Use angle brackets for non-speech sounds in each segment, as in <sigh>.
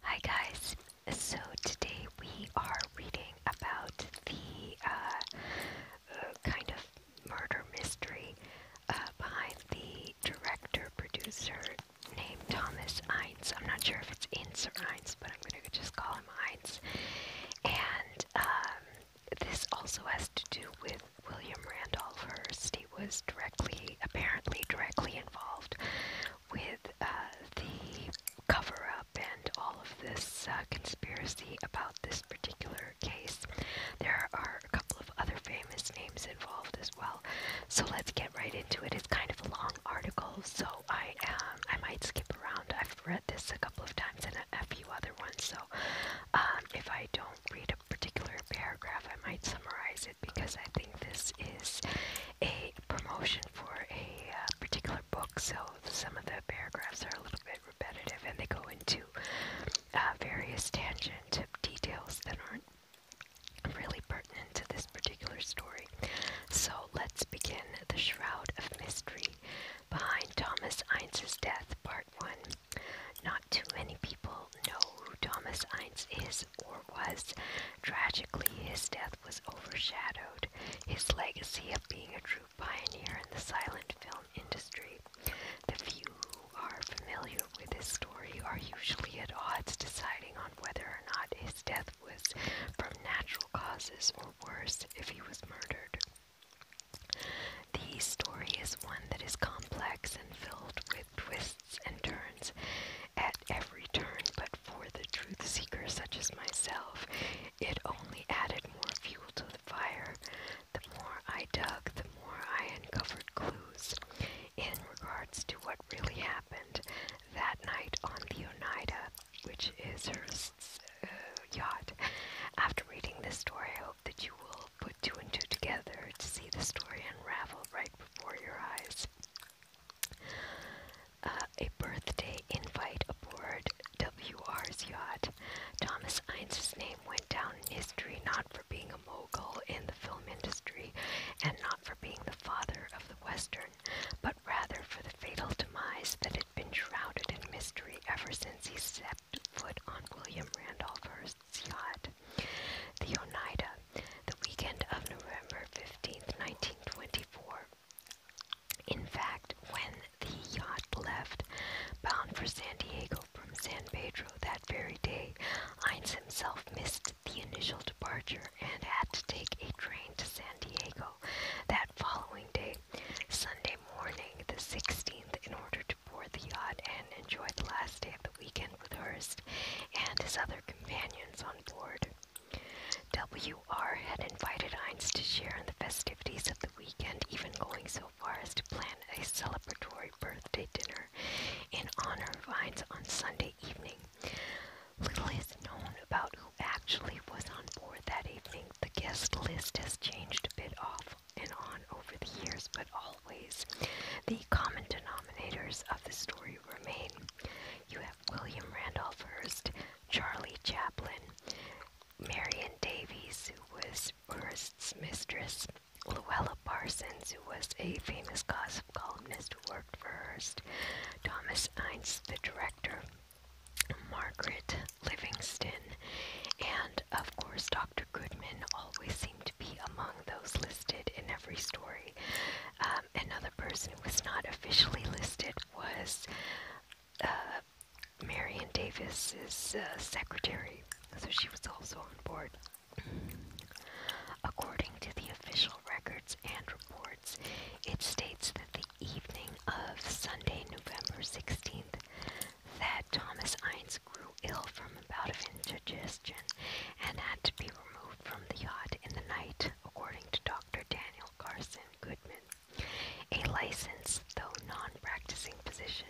Hi guys, so today we are reading about the uh, uh, kind of murder mystery uh, by the director producer named Thomas Eins. I'm not sure if it's Ince or Eins, but I'm going to just call him Eins. And um, this also has to do with William Randolph Hearst. He was directly, apparently directly involved with uh, the cover up and all of this uh, conspiracy about this particular case. There are a couple of other famous names involved as well. So let's get right into it. It's kind of a long article, so I um, I might skip around. I've read this a couple of times and a, a few other ones, so um, if I don't read a particular paragraph, I might summarize it because I think this is a a promotion for a uh, particular book, so some of the paragraphs are a little bit repetitive and they go into uh, various tangent details that aren't really pertinent to this particular story. So let's begin The Shroud of Mystery Behind Thomas Einz's Death, Part 1. Not too many people know who Thomas Eins is, or was. Tragically, his death was overshadowed his legacy of being a true pioneer in the silent film industry. The few who are familiar with his story are usually at odds deciding on whether or not his death was from natural causes or worse if he was murdered. The story is one that is complex and filled with twists and turns at every turn, but for the truth seeker such as myself, it only added more fuel to the fire. The more I dug, the more I uncovered clues in regards to what really happened that night on the Oneida, which is her uh, yacht. After reading this story, I hope that you will put two and two together to see the story unravel right before your eyes. Uh, a birthday invite aboard WR's yacht. Thomas Heinz's name went down in history not for being a mogul in the film industry and not for being the father of the Western, but rather for the fatal demise that had been shrouded in mystery ever since he set foot on William Randolph Hearst's yacht, the Oneida, the weekend of November 15, 1924. In fact, when the yacht left, bound for San Diego from San Pedro that very day, Heinz himself missed the initial departure and had to take a train to San Diego that following day, Sunday morning, the 16th, in order to board the yacht and enjoy the last day of the weekend with Hearst and his other companions on board. W.R. had invited Heinz to share in the festivities of the weekend, even going so far as to plan a celebratory birthday dinner in honor of Heinz on Sunday evening. Little is known about who actually was on board that evening. The guest list has changed a bit off and on over the years, but always the common denominators of the story remain. You have. William Randolph Hearst, Charlie Chaplin, Marion Davies, who was Hearst's mistress, Luella Parsons, who was a famous gossip columnist who worked for Hearst, Thomas Ince, the director, Margaret Livingston, and of course, Dr. Goodman always seemed to be among those listed in every story. Uh, um, another person who was not officially listed was uh, Marion Davis's uh, secretary, so she was also on board. According to the official records and reports, it states that the evening of Sunday, November 16th, that Thomas Ince grew ill from a bout of indigestion and had to be removed from the yacht in the night according to Dr. Daniel Carson Goodman, a licensed though non practicing physician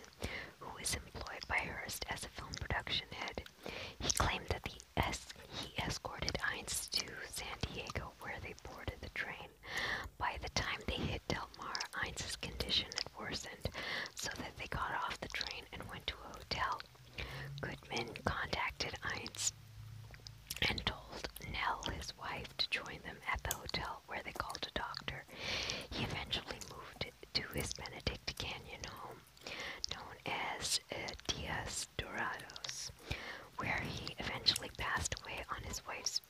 who is employed by Hearst as a film production head. He claimed that the S he escorted Heinz to San Diego where they boarded the train. By the time they hit Del Mar, Heinz's condition had worsened so that they got off the train and went to a hotel. Goodman contacted Heinz and told Nell, his wife, to join them at the hotel where they called a doctor. He eventually moved to his Benedict Canyon home, known as uh, Diaz Dorados, where he eventually passed away on his wife's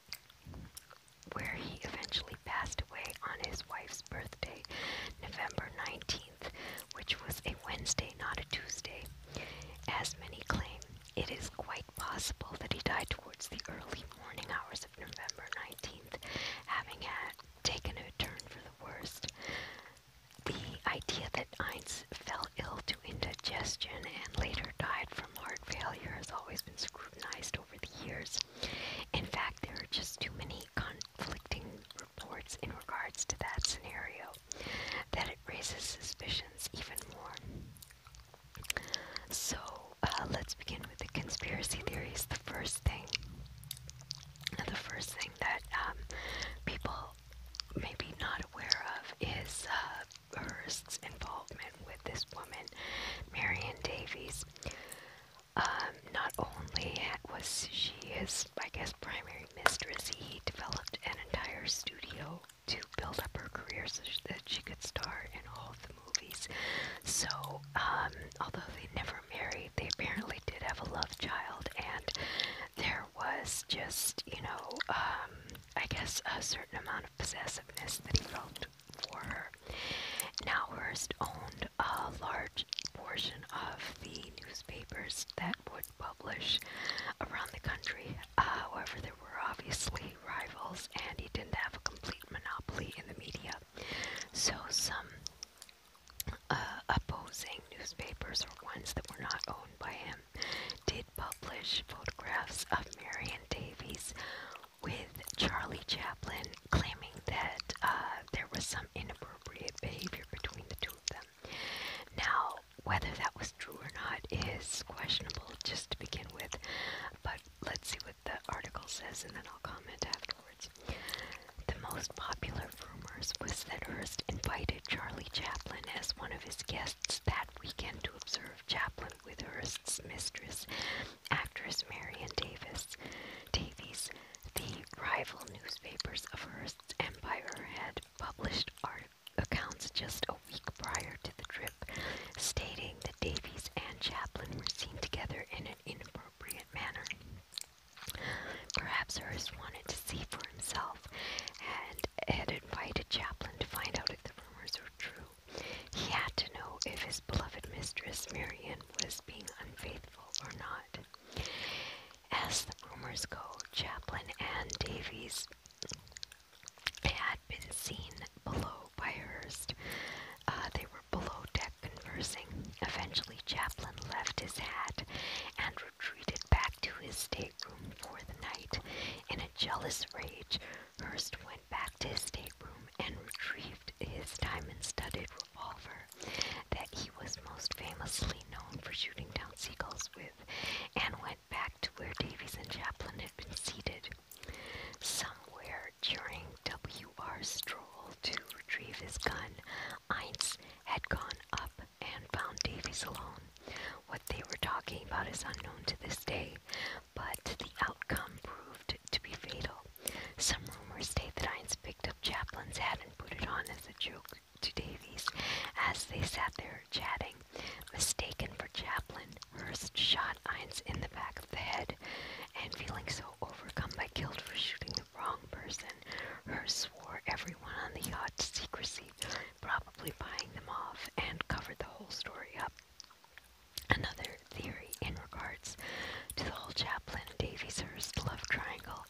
where he eventually passed away on his wife's birthday, November 19th, which was a Wednesday, not a Tuesday. As many claim, it is quite possible that he died towards the early morning hours of November 19th, having had taken a turn for the worst. The idea that Einz fell ill to indigestion and later died from heart failure has always been scrutinized over the years. In fact, there are just too many conflicting reports in regards to that scenario that it raises suspicions even more. So uh, let's begin with the conspiracy theories. The first thing, the first thing that um, people may be not aware of is uh, Hearst's involvement with this woman, Marion Davies. Um, not only was she his, I guess, primary mistress, he developed an entire studio to build up her career so that she could star in all of the movies. So, um, although they never married, they apparently did have a love child, and there was just, you know, um, I guess a certain amount of possessiveness that he felt for her. Nowhurst owned a large portion of the newspapers that would publish around the country. Uh, however, there were obviously rivals, and he didn't have a complete monopoly in the media. So some uh, opposing newspapers, or ones that were not owned by him, did publish photographs of Marion Davies with Charlie Chaplin claiming that uh, there was some inappropriate behavior between the two of them. Now, whether that was true or not is questionable just to begin with, but let's see what the article says and then I'll comment afterwards. The most popular of rumors was that Hearst invited Charlie Chaplin as one of his guests that weekend to observe Chaplin with Hearst's mistress, actress Marion Davis. Davies, the rival newspapers of Hearst's empire, had published articles accounts just a week prior to the trip, stating that Davies and Chaplin were seen together in an inappropriate manner. Perhaps Hearst wanted to see for himself and had invited Chaplin to find out if the rumors were true. He had to know if his beloved mistress Marian was being unfaithful or not. As the rumors go, Chaplin and Davies they had been seen below by Hurst. Uh, they were below deck conversing. Eventually, Chaplin left his hat and retreated back to his stateroom for the night. In a jealous rage, Hurst went back to his stateroom and retrieved his diamond studded revolver that he was most famously known for shooting down seagulls with, and went went back to where Davies and Chaplin had been seated. Somewhere during W.R.'s stroll to retrieve his gun, Eins had gone up and found Davies alone. What they were talking about is unknown to this day, but the outcome proved to be fatal. Some rumors state that Eins picked up Chaplin's hat and put it on as a joke to Davies as they sat there chatting. Mistaken for Chaplin, Hearst shot Ince in the back of the head, and feeling so overcome by guilt for shooting the wrong person, Hearst swore everyone on the yacht to secrecy, probably buying them off, and covered the whole story up. Another theory in regards to the whole Chaplin Davies Hearst love triangle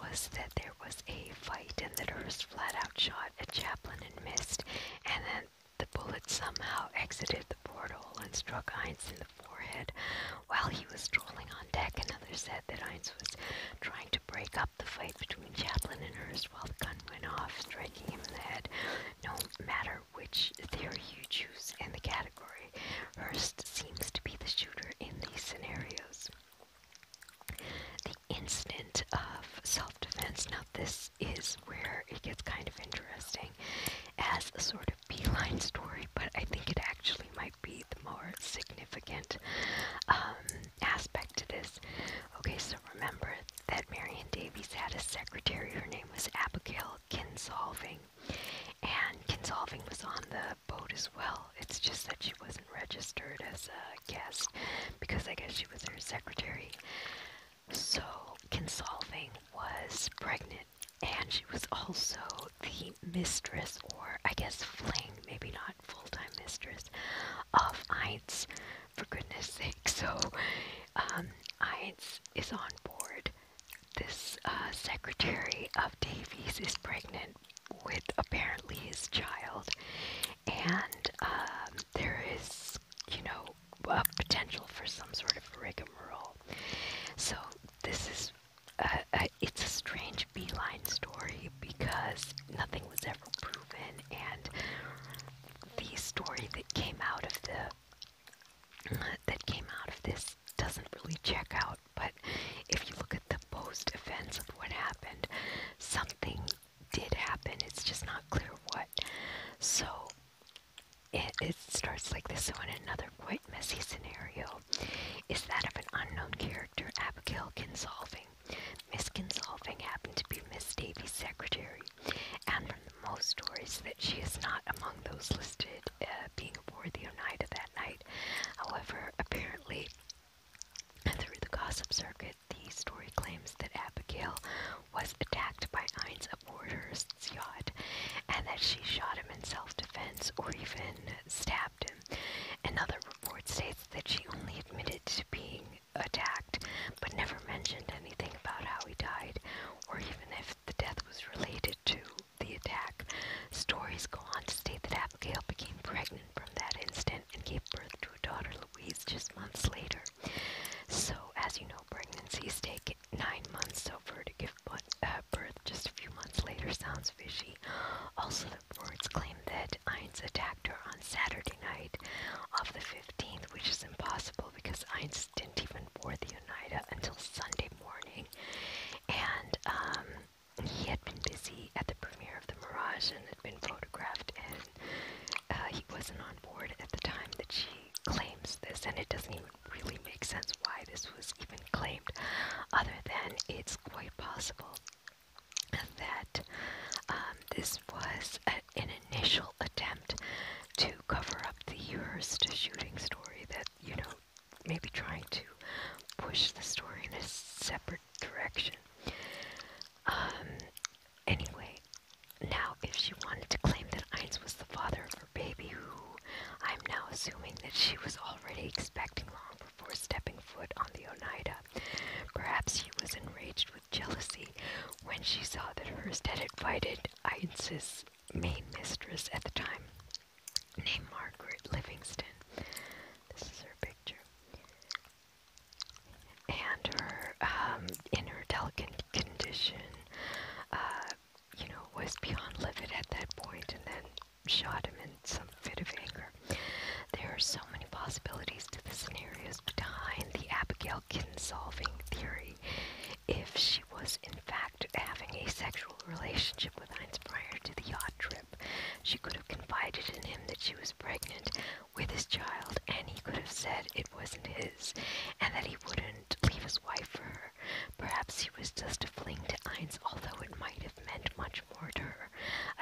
was that there was a fight and that Hearst flat out shot at Chaplin and missed, and then the bullet somehow exited the portal and struck Heinz in the forehead while he was strolling on deck. Another said that Heinz was trying to break up the fight between Chaplin and Hurst, while the gun went off, striking him in the head. No matter which theory you choose in the category, Hurst seems to be the shooter in these scenarios the of self defense. Now, this is where it gets kind of interesting as a sort of beeline story, but I think it actually might be the more significant um, aspect to this. Okay, so remember that Marion Davies had a secretary. Her name was Abigail Kinsolving, and Kinsolving was on the boat as well. It's just that she wasn't registered as a guest because I guess she she was her secretary. So Consolving was pregnant, and she was also the mistress, or I guess fling, maybe not full-time mistress, of Eins. For goodness sake, <laughs> so um, is on board. This uh, secretary of Davies is pregnant with apparently his child, and um, there is, you know, a potential for some sort of rigmarole. So this is a, it's a strange beeline story because nothing was ever proven, and the story that came out of the that came out of this doesn't really check out. But if you look at the post events of what happened, something did happen. It's just not clear what. So it, it starts like this. So in another quite messy scenario is that of an unknown character, Abigail solving. Miss solving happened to be Miss Davy's secretary, and from the most stories that she is not among those listed uh, being aboard the Oneida that night. However, apparently through the gossip circuit, the story claims that Abigail was attacked by Heinz of yacht and that she shot him in self defense or even stabbed him. Another report states that she only admitted to being attacked but never mentioned anything about how he died or even if the death was related to the attack. Stories go on to state that Abigail became pregnant from that instant and gave birth to a daughter, Louise, just months later. So, as you know, pregnancies take nine months, so for her to give uh, birth just a few months later sounds fishy. Also, the courts claim that Einz attacked her on Saturday night of the 15th, which is impossible because Einz didn't even board the Oneida until Sunday morning. And um, he had been busy at the premiere of The Mirage and had been photographed in. Uh, he wasn't on board at the time that she claims this, and it doesn't even really make sense why this was even claimed, other than it's quite possible that um, this was an initial attempt to cover up the Hearst shooting story that, you know, maybe trying to push the story in a separate direction. Um, anyway, now if she wanted to claim that Einz was the father of her baby, who I'm now assuming that she was already expecting long before stepping foot on the Oneida, perhaps she was enraged with jealousy when she saw that Hearst had invited Einz's main mistress at the time, named Margaret Livingston. This is her picture and her um, delicate condition, uh, you know, was beyond livid at that point, and then shot him in some fit of anger. There are so many possibilities to the scenarios behind the Abigail solving theory. If she was in fact having a sexual relationship with Heinz prior to the yacht trip, she could have confided in him that she was pregnant, with his child, and he could have said it wasn't his, and that he wouldn't leave his wife for her. Perhaps he was just a fling to Einz, although it might have meant much more to her.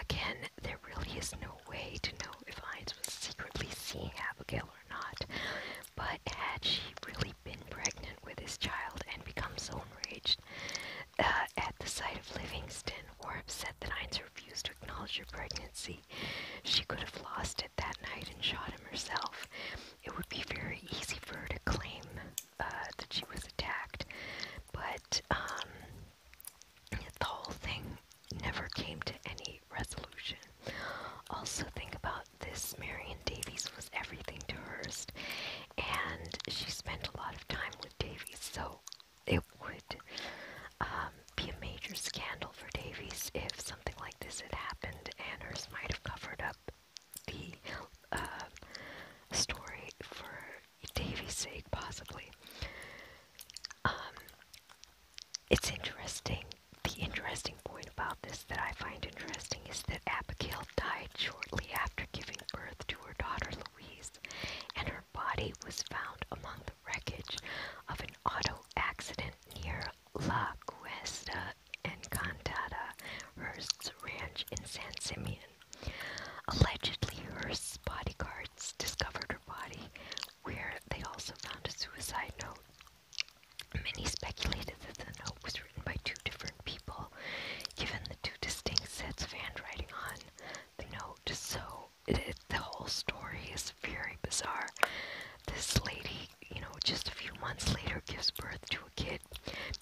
Again, there really is no way to know if Einz was secretly seeing Abigail or not, but had she really been pregnant with his child and become so enraged uh, at the sight of Livingston, or upset that Einz refused to acknowledge her pregnancy, she could have lost it that night and shot him herself, it would be very easy for her to claim uh, that she was attacked. But um, the whole thing never came to any resolution. Also, think about this Marion Davies was everything to Hearst, and she spent a lot of time with Davies, so it would um, be a major scandal for Davies if something like this had happened, and might have covered up the uh, story for Davies' sake, possibly. Um, it's interesting. The interesting point about this that I find interesting is that Abigail died shortly after giving birth to her daughter Louise, and her body was found among the wreckage of an auto accident near La Cuesta Encantada, Hearst's ranch in San Simeon. Allegedly, Hearst's bodyguards discovered her body, where they also found a suicide note. Many speculated that the note was written by two different people, given the two distinct sets of handwriting on the note. So, the whole story is very bizarre. This lady, you know, just a few months later gives birth to a kid.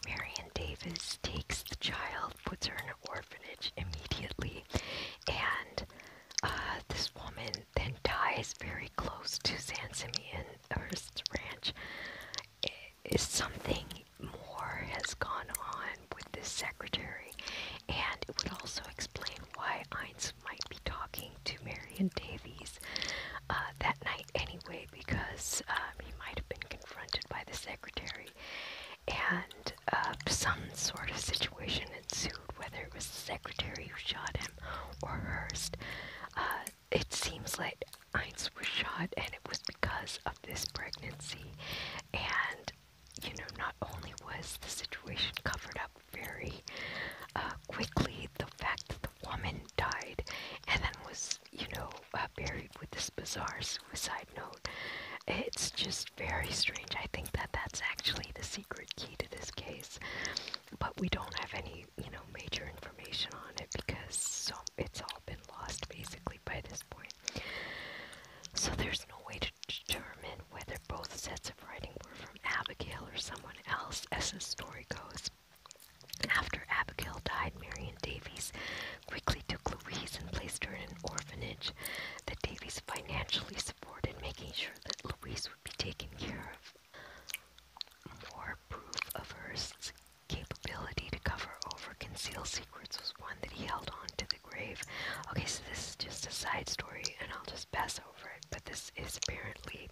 Marion Davis takes the child, puts her in an orphanage immediately, and uh, this woman then dies very close to San Simeon Hearst's ranch. Is something more has gone on with this secretary, and it would also explain why Einz might be talking to Marion Davies uh, that night anyway because um, he might have been confronted by the secretary and uh, some sort of situation ensued, whether it was the secretary who shot him or Hearst. Uh, it seems like Heinz was shot, and it was because of this pregnancy. And, you know, not only was the situation covered up very uh, quickly the fact that the woman died and then was, you know, uh, buried with this bizarre suicide note. It's just very strange. I think that that's actually the secret key to this case, but we don't have any, you know, major information on it because so it's all been lost basically by this point. So there's no way to determine whether both sets of writing were from Abigail or someone else, as the story goes. After Abigail died, Marion Davies quickly took Louise and placed her in an orphanage that Davies financially supported, making sure that Louise would be taken care of. More proof of her capability to cover over conceal secrets was one that he held on to the grave. Okay, so this is just a side story, and I'll just pass over it, but this is apparently story,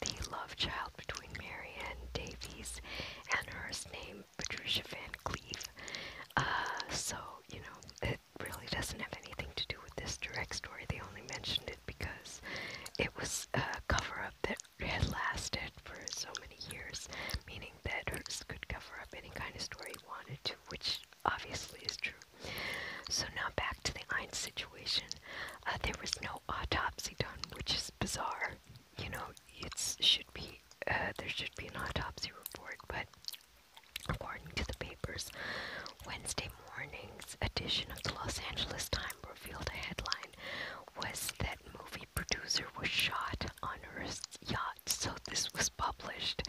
the love child between Marianne Davies and hers named Patricia Van Cleve. Uh, so, you know, it really doesn't have anything to do with this direct story. They only mentioned it because it was a cover up that had lasted for so many years, meaning that hers could cover up any kind of story it wanted to, which obviously is true so now back to the Einstein situation. Uh, there was no autopsy done, which is bizarre. You know, it should be uh, there should be an autopsy report, but according to the papers, Wednesday morning's edition of the Los Angeles Times revealed a headline was that movie producer was shot on her yacht. So this was published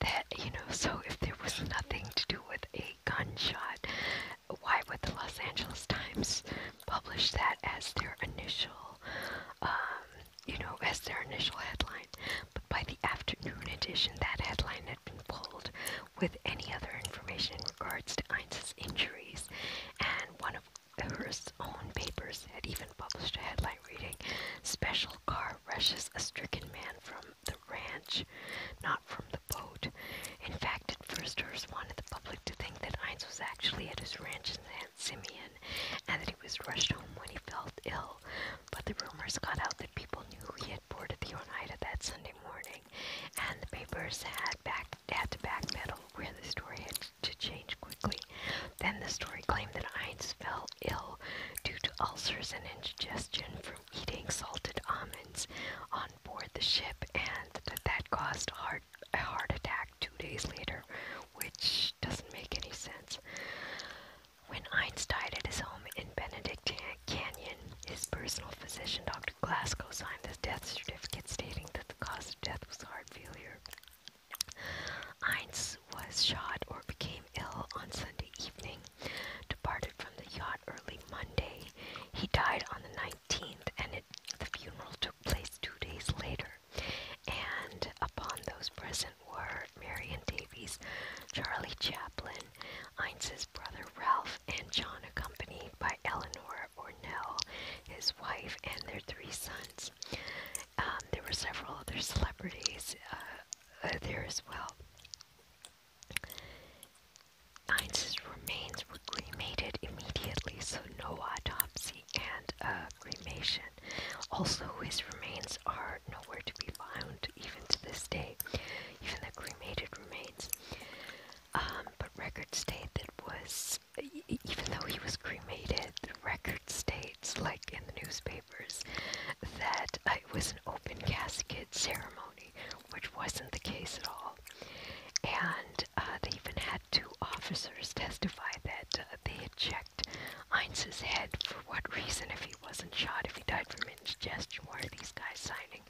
that you know. So if there was nothing to do with a gunshot, why would the Los Angeles Times publish that as their initial, um, you know, as their initial headline? But by the afternoon edition, that headline had been pulled with any other information in regards to Einz's injuries, and one of her own papers had even published a headline reading, Special Car Rushes a Stricken Man from the Ranch, Not from the." the boat. In fact, at first Hearst wanted the public to think that Heinz was actually at his ranch in San Simeon and that he was rushed home when he felt ill, but the rumors got out that people knew he had boarded the Oneida that Sunday morning, and the papers had, back, had to backpedal where the story had to change quickly. Then the story claimed that Heinz fell ill due to ulcers and indigestion for eating salted almonds on board the ship, and that, caused heart, a heart attack two days later, which doesn't make any sense. When Einstein died at his home in Benedict Canyon, his personal physician, Dr. Glasgow, signed the death certificate stating that the cause of death was heart failure. Einz was shot or became ill on Sunday evening, departed from the yacht early Monday. He died on the 19th, and the funeral took place two days later. And upon those present were Marion Davies, Charlie Chaplin, Einz's brother Ralph, and John, accompanied by Eleanor Ornell, his wife, and their three sons. Um, there were several other celebrities uh, uh, there as well. Heinz's remains were cremated immediately, so no autopsy and uh, cremation. Also, his remains are nowhere to be found, even to this day, even the cremated remains. Um, but records state that was, even though he was cremated, the record states, like in the newspapers, that uh, it was an open casket ceremony which wasn't the case at all. And uh, they even had two officers testify that uh, they had checked Heinz's head for what reason, if he wasn't shot, if he died from indigestion. Why are these guys signing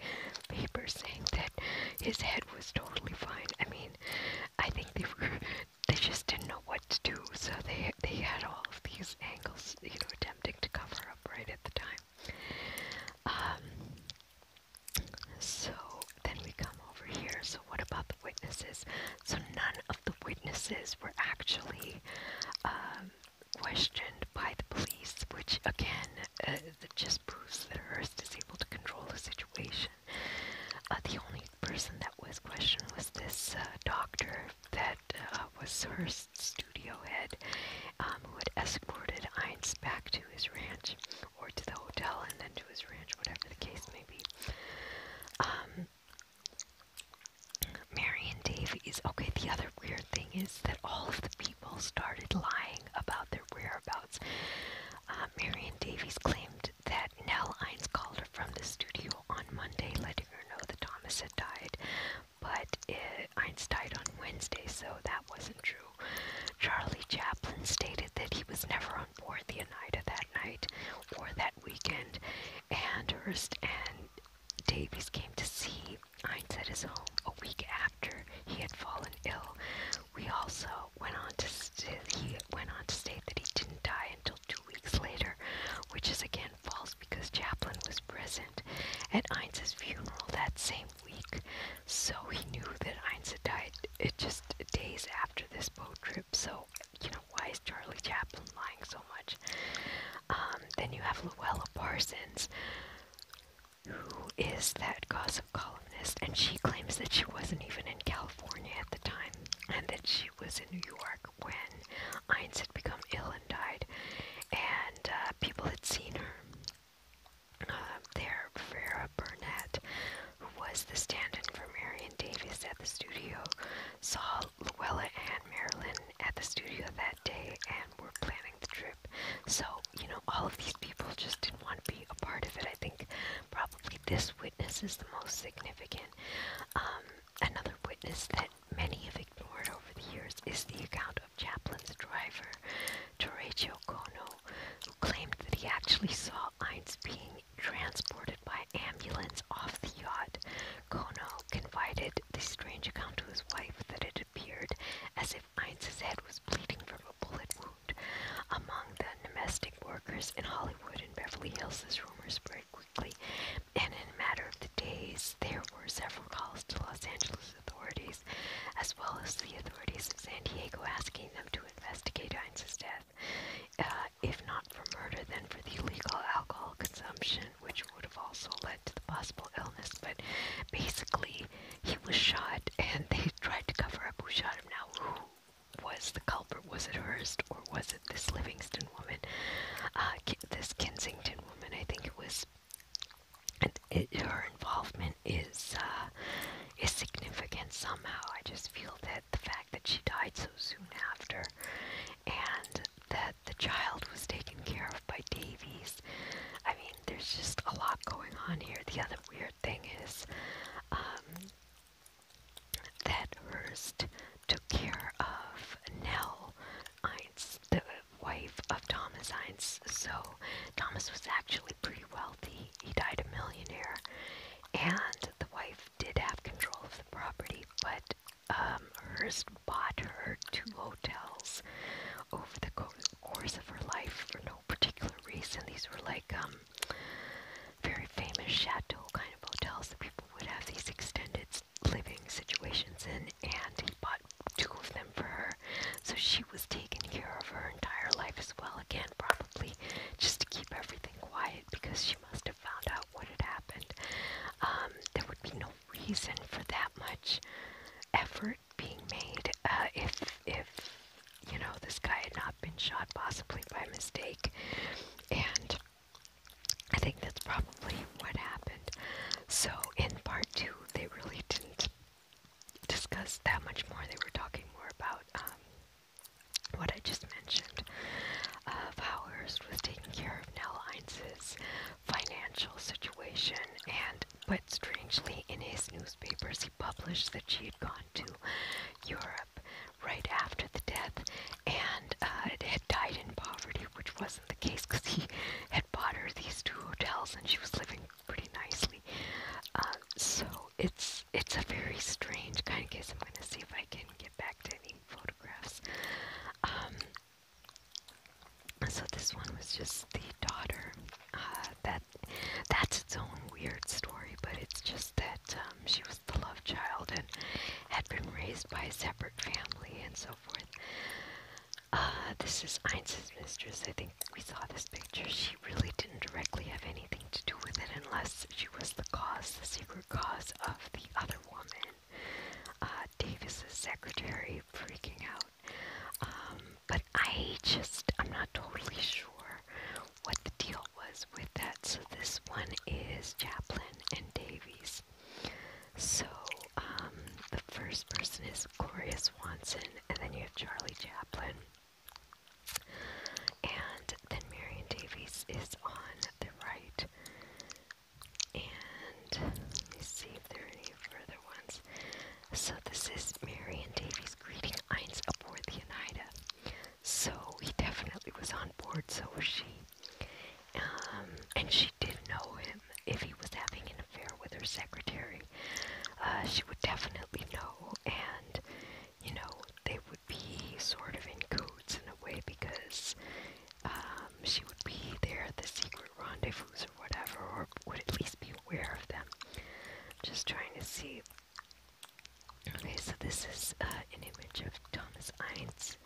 papers saying that his head was totally fine? I mean, I think they were, they just didn't know what to do, so they they had all of these angles, you know, attempting to cover up right at the time. Um, so then we come over here. So, what about the witnesses? So, none of the witnesses were actually um, questioned by the police, which again uh, just proves that Hearst is able to control the situation. Uh, the only person that was questioned was this uh, doctor that uh, was Hearst's studio head, um, who had escorted Heinz back to to his ranch or to the hotel and then to his ranch, whatever the case may be. Um, Mary and Davies. Okay, the other weird thing is that all of the people started lying about their whereabouts. Uh, Mary and Davies claimed that Nell Ines called her from the studio on Monday, letting her know that Thomas had died, but it, eh, Ines died on Wednesday, so that wasn't true. Charlie Chaplin stated that he was never on board the Oneida that night or that weekend, and Hearst and Davies came to see Heinz at his home a week after he had fallen ill. We also went on to st he went on to state that he didn't die until two weeks later, which is again false because Chaplin was present at Heinz's funeral that same week, so he knew that Einstein died uh, just days after this boat trip. So, you know, why is Charlie Chaplin lying so much? Um, then you have Luella Parsons, who is that gossip columnist, and she claims that she wasn't even in California at the time, and that she was in New York when Einstein had become ill and died, and uh, people had seen her uh, there, Vera Burnett, who was the stand-in for Marion Davis at the studio, saw Luella and Marilyn at the studio that day and were planning the trip. So, you know, all of these people just didn't want to be a part of it. I think probably this witness is the most significant. Um, another witness that many have ignored over the years is the account of Chaplin's driver, Torrejo Kono, who claimed that he actually saw Einz being transported by ambulance off the yacht. Kono confided the strange account to his wife that it appeared as if Einz's head was bleeding from a bullet wound. Among the domestic workers in Hollywood and Beverly Hills, this rumor spread quickly, and in a matter of the days, there were several calls to Los Angeles Texas authorities, as well as the authorities of San Diego, asking them to investigate Heinz's death, uh, if not for murder, then for the illegal alcohol consumption, which would have also led to the possible illness. But basically, he was shot, and they <laughs> tried to cover up who shot him. Now, who? was the culprit? Was it Hearst or was it this Livingston woman? Uh, Ki this Kensington woman, I think it was and her involvement is uh, is significant somehow. I just feel that the fact that she died so soon after, and that the child was taken care of by Davies. I mean, there's just a lot going on here. The other weird thing is um, that Hearst took care of Nell Eins, the wife of Thomas Eins. So Thomas was actually pretty wealthy. He died a millionaire, and the wife did have control of the property, but um, Hearst bought her two hotels over the co course of her life for no particular reason. These were like um, very famous chateau kind of hotels that people would have these extended living situations in, and he bought two of them for her. So she was taking care of her entire life as well, again, probably just to keep everything quiet because she must have found out what had happened. Um, there would be no reason for that much effort being made uh, if, if you know, this guy had not been shot possibly by mistake. And I think that's probably what happened. So in part two, they really didn't discuss that much more. They were talking more about um, what I just mentioned of how Hearst was taking care of Nell Einz's financial situation, and but strangely, in his newspapers, he published that she had gone to Europe right after the death and uh, it had died in poverty, which wasn't the case because he had bought her these two hotels and she was living pretty nicely. Um, so it's it's a very strange kind of case. I'm gonna see if I can get back to any photographs. Um, so this one was just the daughter. Uh, that that's its own weird story, but it's just that um, she was the love child and had been raised by a separate family and so forth. Uh, this is Einz's mistress. I think we saw this picture, she really didn't directly have anything to do with it unless she was the cause, the secret cause of the other woman. Uh, Davis's secretary freaking out. Um, but I just, I'm not totally sure what the deal was with that. So this one is Chaplin and Davies. So, um, the first person is Gloria Swanson, and then you have Charlie Chaplin. And then Marion Davies is on the right. And see if there are any further ones. So this is Marion Davies greeting Eins aboard the Oneida. So he definitely was on board, so was she. Um, and she did not know him if he was having an affair with her secretary. Uh, she would definitely know, and you know, they would be sort of in codes in a way because um, she would be there at the secret rendezvous or whatever, or would at least be aware of them. just trying to see. Okay, so this is uh, an image of Thomas Eins,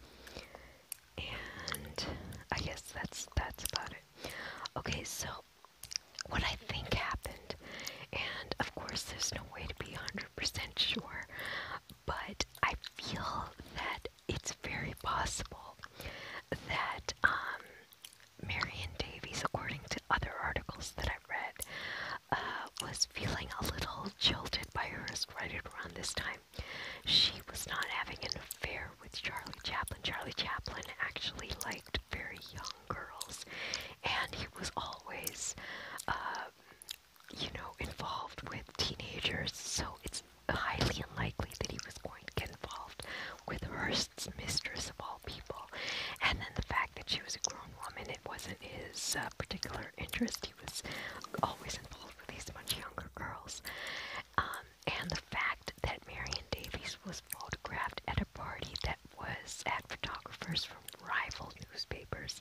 and I guess that's that's about it. Okay, so what I think happened. And of course, there's no way to be 100% sure, but I feel that it's very possible that um, Marion Davies, according to other articles that I've read, uh, was feeling a little jilted by her. hers right around this time. She was not having an affair with Charlie Chaplin. Charlie Chaplin actually liked loved very young girls, and he was always, uh, you know, involved with teenagers. So it's highly unlikely that he was going to get involved with Hearst's mistress of all people. And then the fact that she was a grown woman, it wasn't his uh, particular interest. He was always involved with these much younger girls. Um, and the fact that Marion Davies was was photographed at a party that was at photographers from rival newspapers.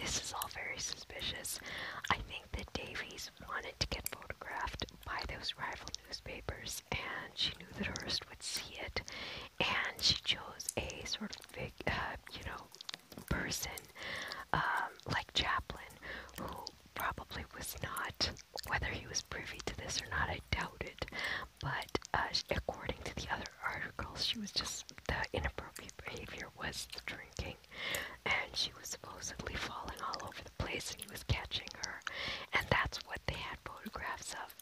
This is all very suspicious. I think that Davies wanted to get photographed by those rival newspapers, and she knew that Hearst would see it, and she chose a sort of big, uh, you know, person um, like Chaplin, who probably was not, whether he was privy to this or not, I doubt it, but uh, according to the other articles, she was just the inappropriate behavior was the drinking, and she was supposedly falling all over the place, and he was catching her, and that's what they had photographs of,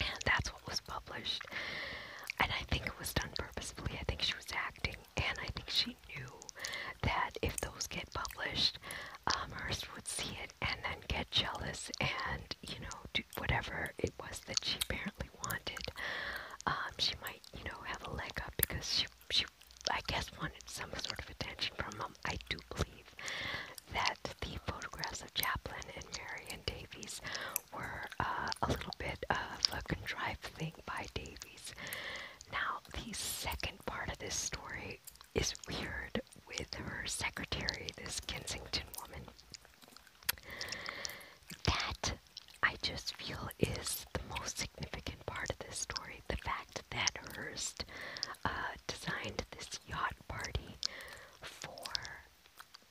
and that's what was published. And I think it was done purposefully. I think she was acting, and I think she knew that if those get published, um, Hearst would see it and then get jealous and, you know, do whatever it was that she apparently wanted. Um, she might, you know, have a leg up because she, she, I guess, wanted some sort of attention from him. I do believe that the photographs of Chaplin and Marion Davies were uh, a little bit of a contrived thing by Davies. Now, the second part of this story is weird with her secretary, this Kensington woman. That I just feel is the most significant part of this story. The fact that Hurst uh, designed this yacht party for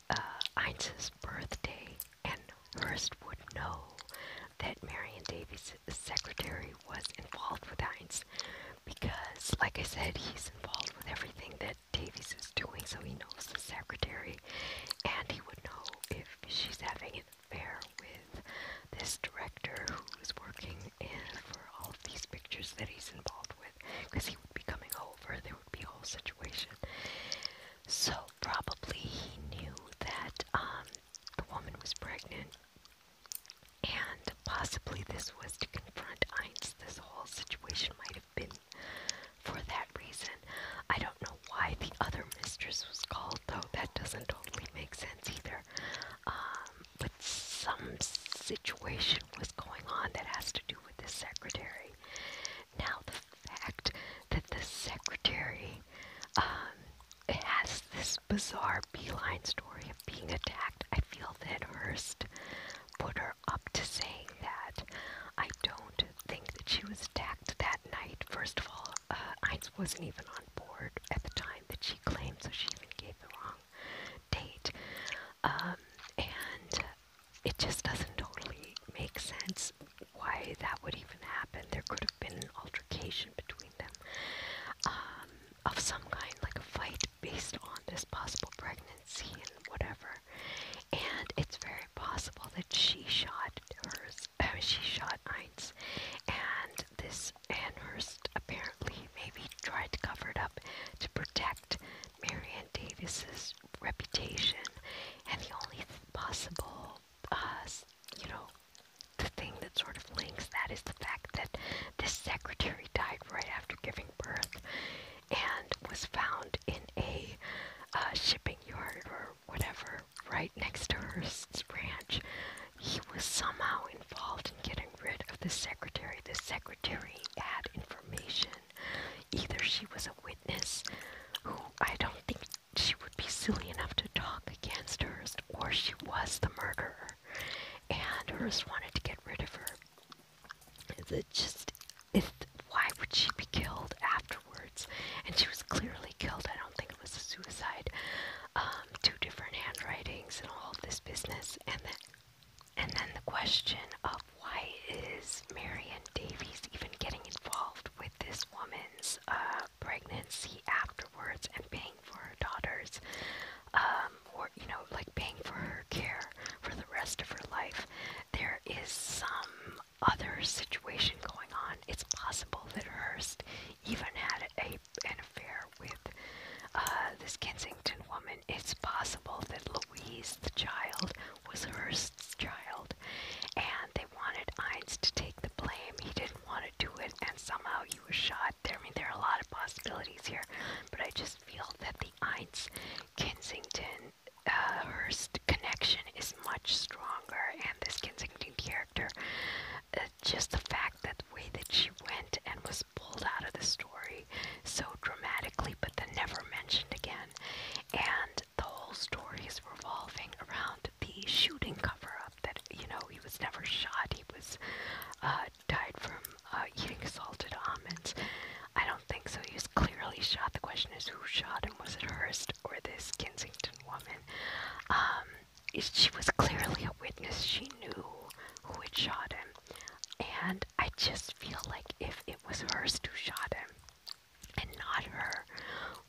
uh, Heinz's birthday, and Hurst would know that Marion Davies' secretary was involved with Heinz because, like I said, he's involved with everything that what Davies is doing, so he knows the secretary, and he would know if she's having an affair with this director who's working in for all of these pictures that he's involved with, because he would be coming over. There would be a whole situation. So probably he knew that um, the woman was pregnant, and possibly this was to confront Einstein. This whole situation might have for that reason. I don't know why the other mistress was called, though. That doesn't totally make sense either. Um, but some situation was going on that has to do with the secretary. Now, the fact that the secretary um, has this bizarre beeline story of being attacked, I feel that Hearst put her her up to saying that. I don't think that she was attacked that night. First of all, uh, Heinz wasn't even on board at the time that she claimed, so she even gave the wrong date. Um, and it just doesn't totally make sense why that would even happen. There could have been an altercation between them um, of some kind, like a fight based on this possible pregnancy and whatever and it's very possible that she shot hers. Uh, she shot Eins, and this Amherst apparently maybe tried to cover it up to protect Marion Davis's reputation, and the only possible, uh, you know, the thing that sort of links that is the fact that this secretary died right after giving birth and was found in a uh, shipping yard or whatever right next to Hearst's ranch. He was somehow involved in getting rid of the secretary. The secretary had information. Either she was a witness who I don't think she would be silly enough to talk against Hearst, or she was the murderer, and Hearst wanted to get rid of her. Is it just is why would she be killed afterwards? And she was clearly killed. I don't think it was a suicide. Um, two different handwritings and all of this business, and then and then the question of why is Marion Davies even getting involved with this woman's uh, pregnancy afterwards and paying for her daughters, um, or you know, like paying for her her care for the rest of her life. There is some other situation going on. It's possible that Hearst even had a, an affair with uh, this Kensington woman. It's possible that Louise, the child, was Hearst's child, and they wanted Ince to take the blame. He didn't want to do it, and somehow he was shot. There, I mean, there are a lot of possibilities here, but I just feel that the Ince Kensington her connection is much stronger, and this Kensington character, uh, just the fact that the way that she went and was pulled out of the story so dramatically, but then never mentioned again, and the whole story is revolving around the shooting cover-up that you know he was never shot, he was uh, died from uh, eating salted almonds. I don't don't think so. He was clearly shot. The question is who shot him? Was it Hearst or this Kensington woman? Um, she was clearly a witness. She knew who had shot him. And I just feel like if it was Hearst who shot him and not her,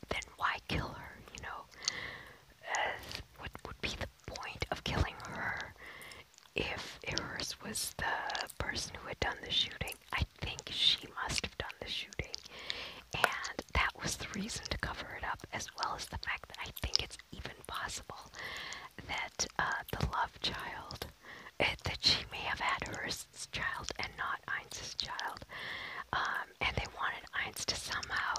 then why kill her? You know, uh, what would be the point of killing her if Hearst was the person who had done the shooting? I think she must have done the shooting, and that was the reason to cover it up, as well as the fact that I think it's even possible that uh, the love child, it, eh, that she may have had Hearst's child and not Einz's child, um, and they wanted Einz to somehow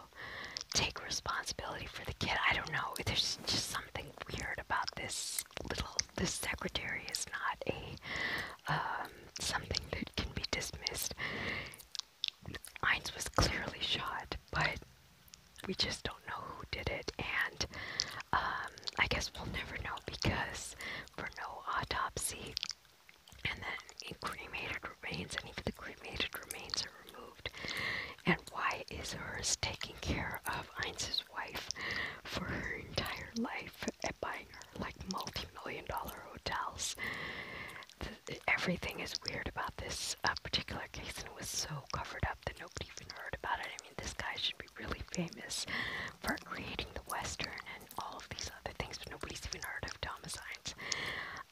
take responsibility for the kid. I don't know. There's just something weird about this this little this secretary is not a um, something that can be dismissed. Heinz was clearly shot, but we just don't know who did it, and um, I guess we'll never know because for no autopsy. And then cremated remains, and even the cremated remains are removed. And why is hers taking care of Einz's wife for her entire life? at buying her like multi-million dollar hotels. The, everything is weird about this uh, particular case, and it was so covered up that nobody even heard about it. I mean, this guy should be really famous for creating the Western and all of these other things, but nobody's even heard of Thomas Hines.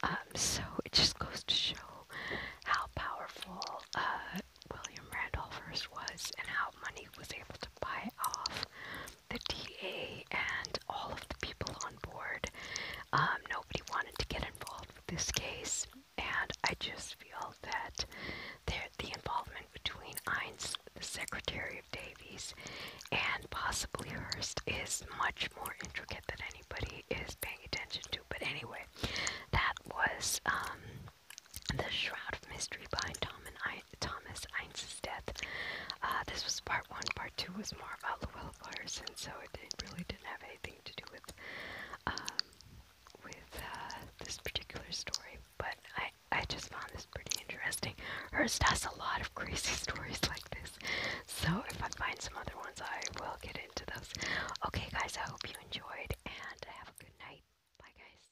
Um, so it just goes to show how powerful uh, William Randolph Hearst was and how money was able to buy off the DA and all of the people on board. Um, nobody wanted to get involved with this case, and I just feel that there, the involvement between Einz, the Secretary of Davies, and possibly Hearst is much more intricate than anybody is paying attention to. But anyway, that was um, the Shroud of Mystery behind Thomas Einz's death. Uh, this was part one. Part two was more about Luella Carson, so it, really didn't have anything to do with um, with uh, this particular story. But I I just found this pretty interesting. Herst has a lot of crazy <laughs> stories like this, so if I find some other ones, I will get into those. Okay, guys, I hope you enjoyed and have a good night. Bye, guys.